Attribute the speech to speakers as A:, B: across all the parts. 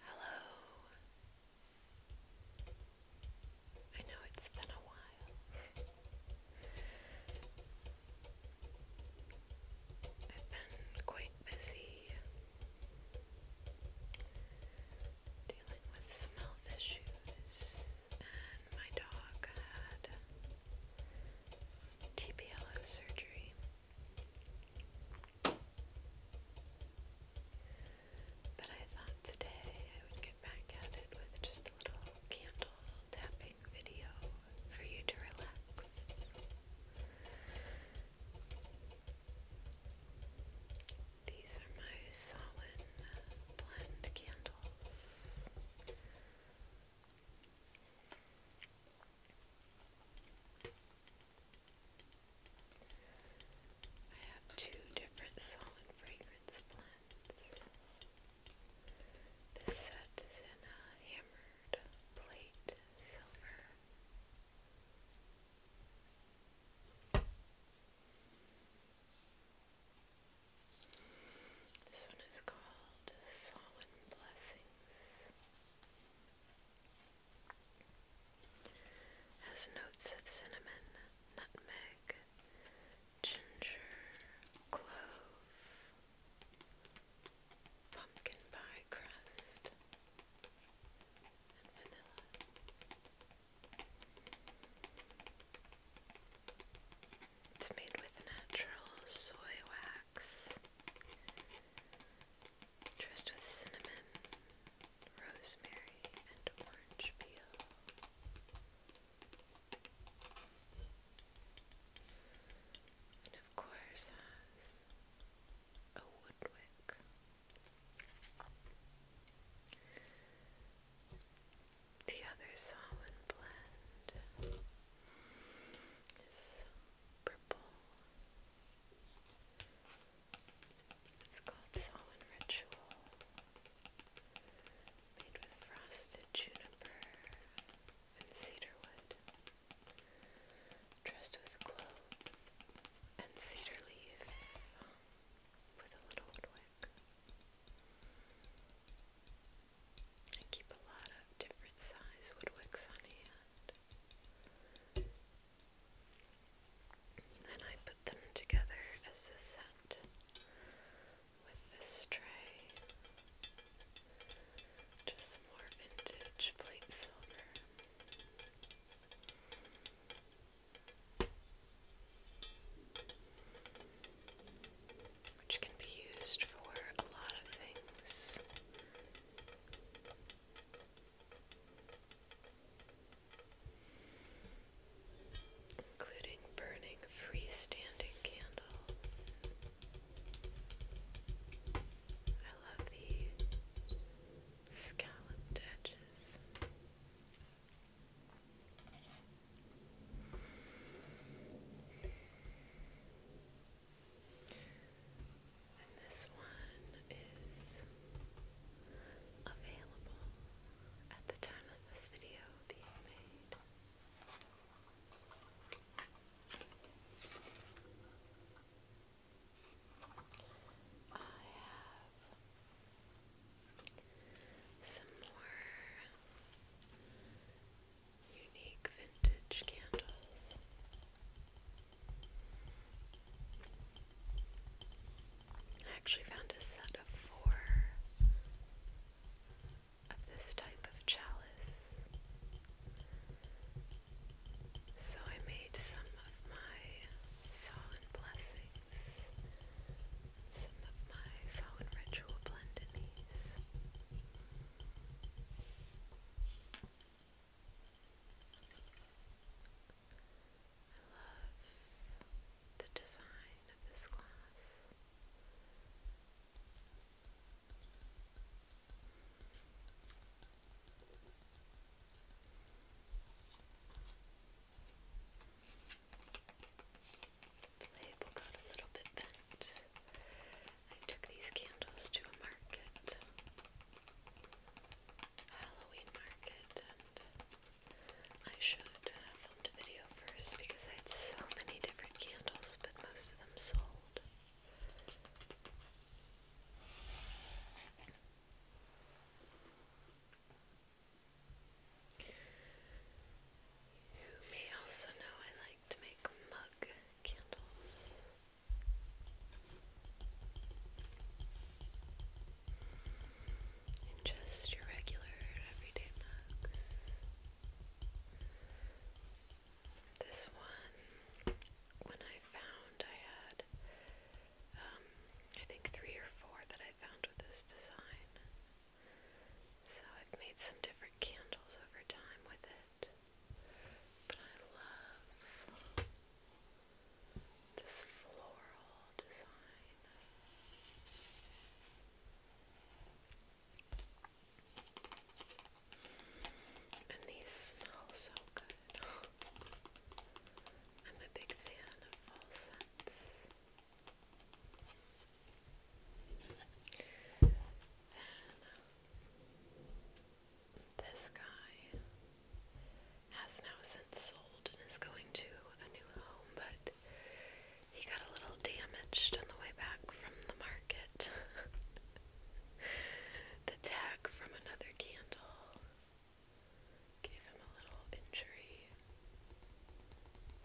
A: Hello. I know it's been a while. I've been quite busy dealing with some health issues, and my dog had TPLO surgery. But I thought today I would get back at it with just a little candle tapping video for you to relax. These are my Solin uh, blend candles. I have two different solid fragrance blends. This set is in a hammered plate silver. This one is called Solemn Blessings. Has notes of cinnamon, nutmeg, ginger, clove, pumpkin pie crust, and vanilla. It's made with natural soy wax dressed with cinnamon, rosemary, and orange peel. And of course has a wood The other solemn blend is it's called Solemn Ritual. Made with frosted juniper and cedar Dressed with cloves and cedar leaf um, with a little wood wick. I keep a lot of different size woodwicks on hand. then I put them together as a set with this tray. Just more vintage plate silver which can be used for a lot of things. Including burning freestanding candles. I love the scalloped edges. And this one is available at the time of this video being made. I have some more unique vintage candles. actually found a set of four of this type of chalice. So I made some of my solid blessings, some of my solid ritual blend in these. I love the design of this glass label got a little bit bent. I took these candles to a market, a Halloween market, I should have filmed a video first because I had so many different candles, but most of them sold. You may also know I like to make mug candles. And just your regular everyday mugs. This one, when I found I had, um, I think three or four that I found with this design. So I've made some different candles over time with it. But I love this floral design. And these smell so good. I'm a big fan of scents this guy has now since sold and is going to a new home, but he got a little damaged on the way back from the market. the tag from another candle Gave him a little injury.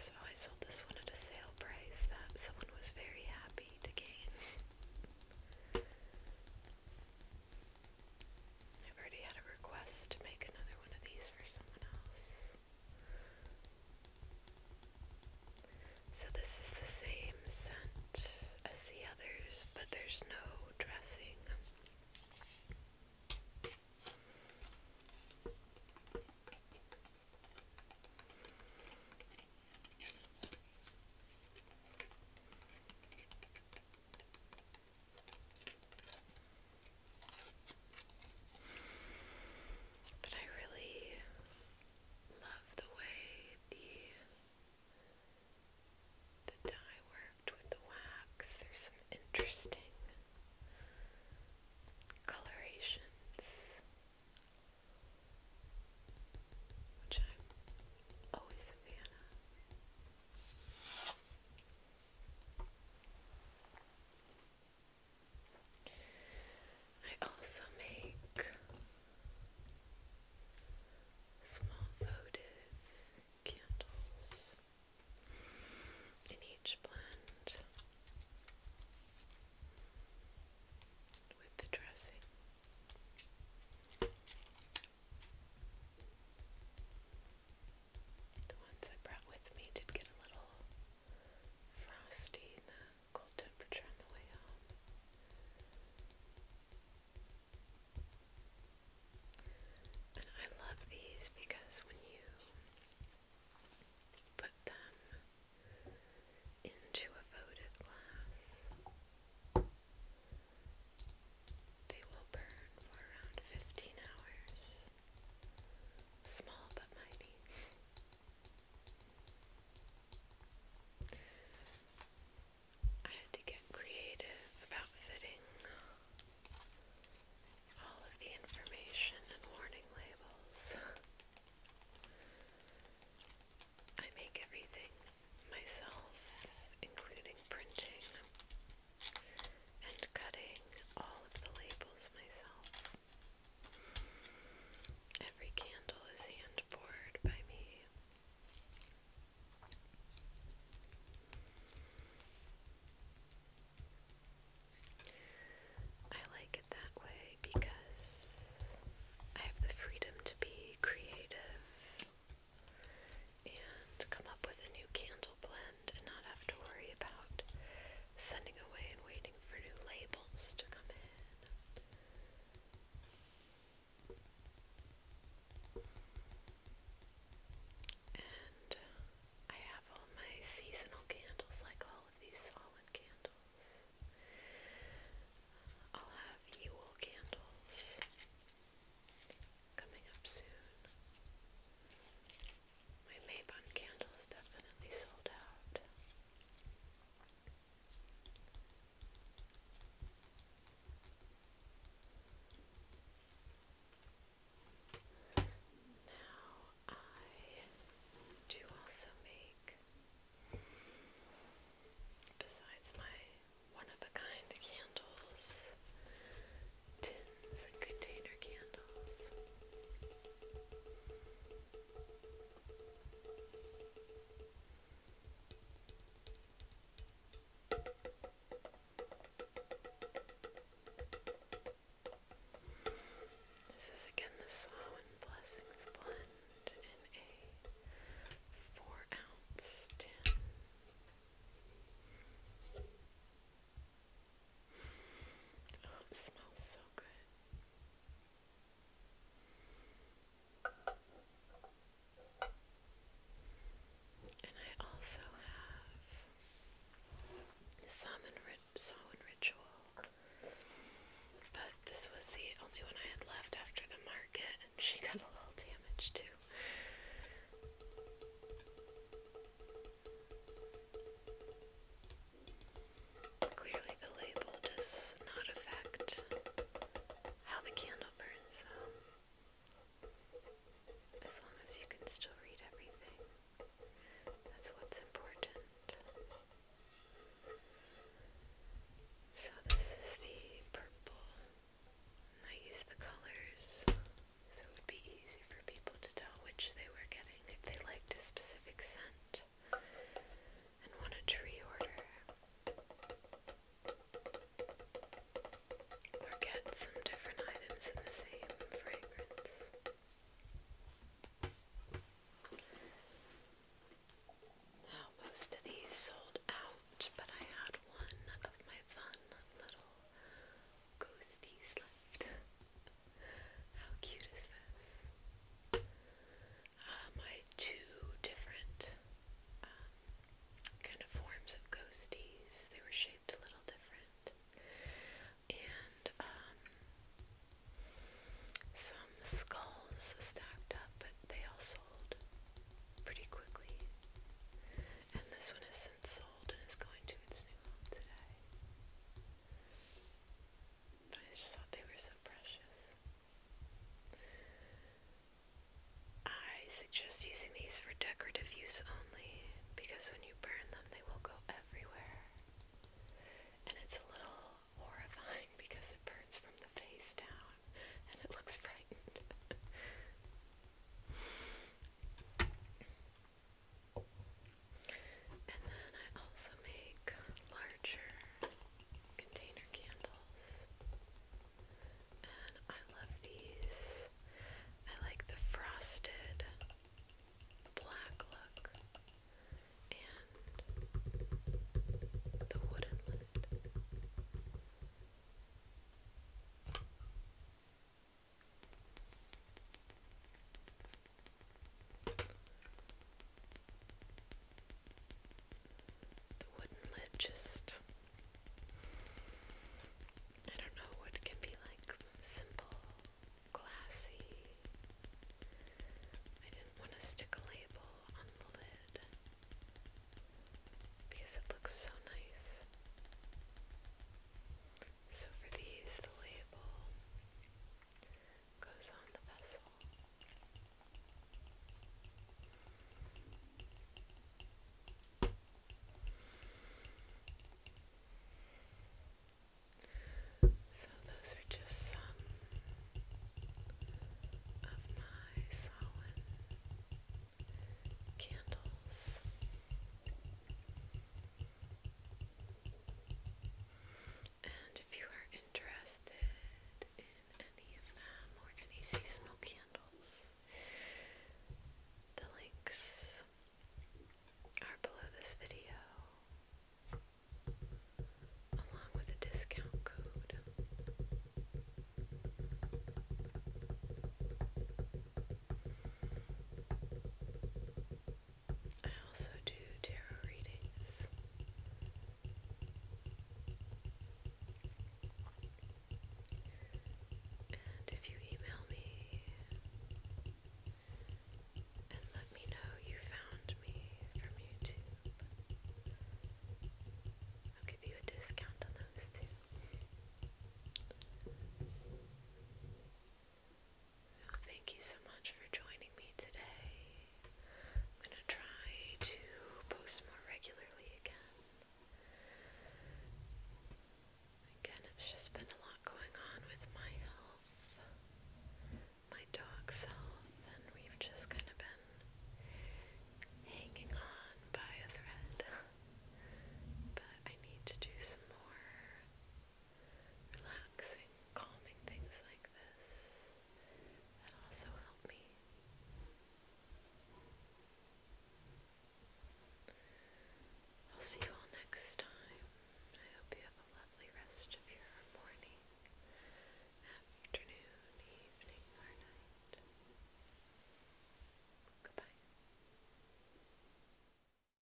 A: So I sold this one at a sale price that someone was very happy to gain. I've already had a request to make another one of these for someone else. So this is the same scent as the others, but there's no dressing. But I really love the way the the dye works with the wax. There's some interesting colorations, which I'm always a I also make small votive candles in each blend with the dressing. The ones I brought with me did get a little frosty in the cold temperature on the way home. I love these because when you put them into a votive glass, they will burn for around 15 hours. Small but mighty. I had to get creative about fitting all of the information and warning labels. I make everything myself, including printing and cutting all of the labels myself. Every candle is hand poured by me. I like it that way because I have the freedom to be creative and come up with a new candle blend and not have to worry about sending away and waiting for new labels to come in. And I have all my seasonal candles, like all of these solid candles. Uh, I'll have Yule candles coming up soon. My Maybon candle is definitely sold out. Now I do also make, besides my one-of-a-kind candles, tins and container candles. This is again the Sow and Blessings blend in a four ounce tin. Oh, it smells so good. And I also have the salmon, rit salmon ritual, but this was the only one I had left after the market, and she got a little damaged too. Clearly, the label does not affect how the candle burns, though. As long as you can still read everything, that's what's important. So, this is the purple, and I use the colors so it would be easy for people to tell which they were getting if they liked a specific scent and wanted to reorder or get some different items in the same fragrance. Now, most of these sold out, but I had one of my fun little ghosties left. How cute is this? my um, two different um, kind of forms of ghosties. They were shaped a little different. And um, some skulls stacked up, but they all sold pretty quickly. And this one has since sold and is going to its new home today. But I just thought they were so precious. I suggest using these for decorative use only because when you burn them, they will go everywhere. And it's a little horrifying because it burns from the face down and it looks frightened. and then I also make larger container candles. And I love these. I like the frosted black look and the wooden lid. The wooden lid just. I don't know what can be like simple, glassy. I didn't want to stick a label on the lid because it looks so nice. So for these, the label goes on the vessel. So, those are just some of my candles. And if you are interested in any of them or any seasonal candles, the links are below this video, along with a discount code. I also do tarot readings. And if you email me and let me know you found me from YouTube, I'll give you a discount on those too thank you so much for joining me today. I'm going to try to post more regularly again. Again, it's just been a lot going on with my health, my dog's health, and we've just kind of been hanging on by a thread. but I need to do some more relaxing, calming things like this that also help me. I'll see you all next time. I hope you have a lovely rest of your morning, afternoon, evening, or night. Goodbye.